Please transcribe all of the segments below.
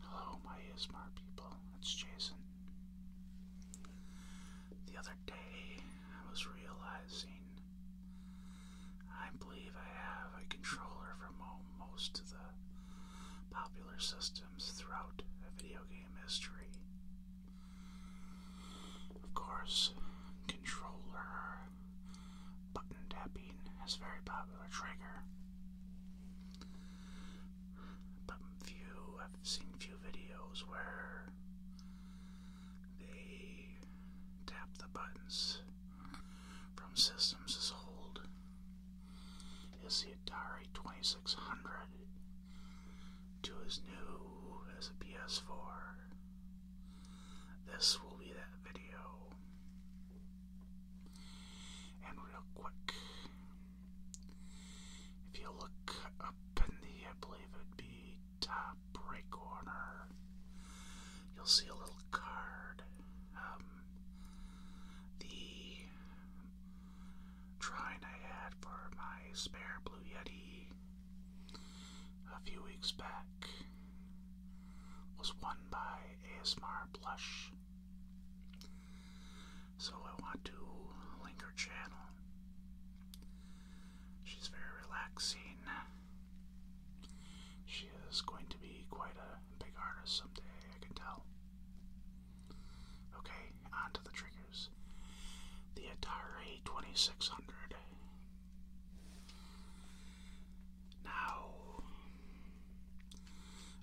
Hello, my smart people. It's Jason. The other day, I was realizing I believe I have a controller for most of the popular systems throughout a video game mystery. Of course, controller button tapping is a very popular trigger. But few I've seen few videos where they tap the buttons from systems as old as the Atari 2600 to as new as a PS4. This will be that video. And real quick, if you look up in the, I believe it'd be top right corner, you'll see a little card. Um, the trying I had for my spare Blue Yeti a few weeks back was won by ASMR Blush. So I want to link channel. She's very relaxing. She is going to be quite a big artist someday, I can tell. Okay, on the triggers. The Atari 2600. Now,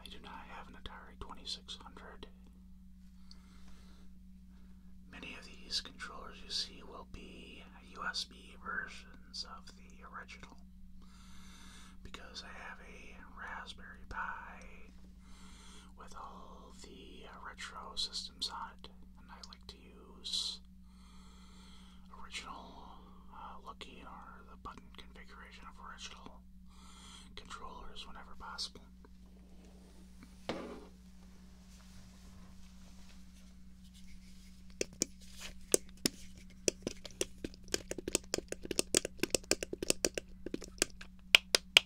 I do not have an Atari 2600. Many of these controllers you see will be USB versions of the original because I have a Raspberry Pi with all the uh, retro systems on it, and I like to use original uh, looking or the button configuration of original controllers whenever possible.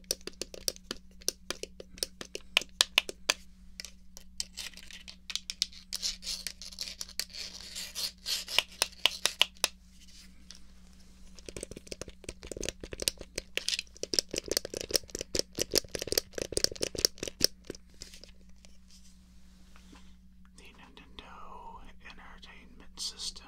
The Nintendo Entertainment System.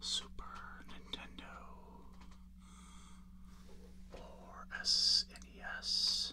Super Nintendo and SNES.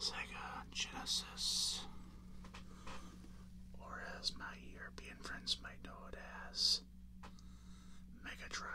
Sega Genesis, or as my European friends might know it as, Mega Drive.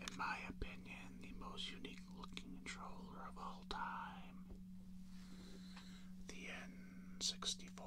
In my opinion, the most unique looking controller of all time. The N64.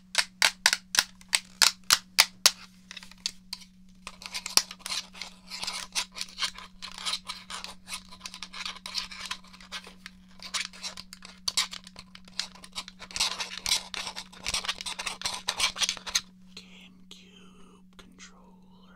GameCube controller.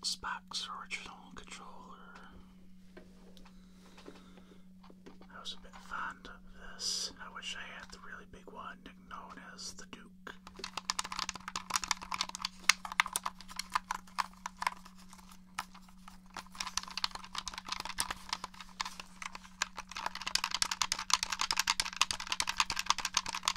Xbox original controller. I was a bit fond of this. I wish I had the really big one known as the Duke.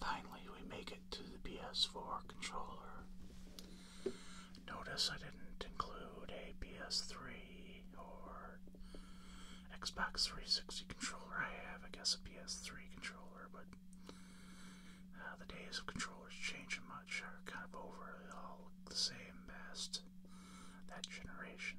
Finally, we make it to the PS4 controller. Notice I didn't include a PS3 or Xbox 360 controller. I have, I guess, a PS3 controller, but uh, the days of controllers changing much are kind of over. They all look the same best that generation.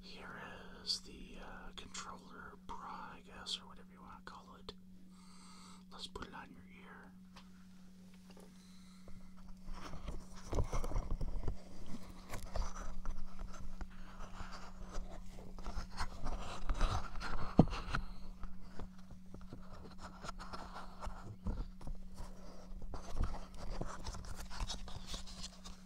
Here is the uh, controller bra, I guess, or whatever you want to call it. Let's put it on your ear.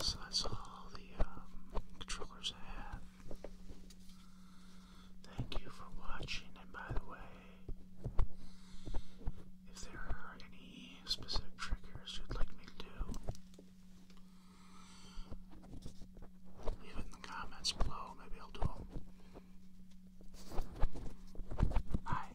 So that's all the um, controllers I have. Thank you for watching, and by the way, if there are any specific triggers you'd like me to do, Leave it in the comments below. Maybe I'll do them. Bye.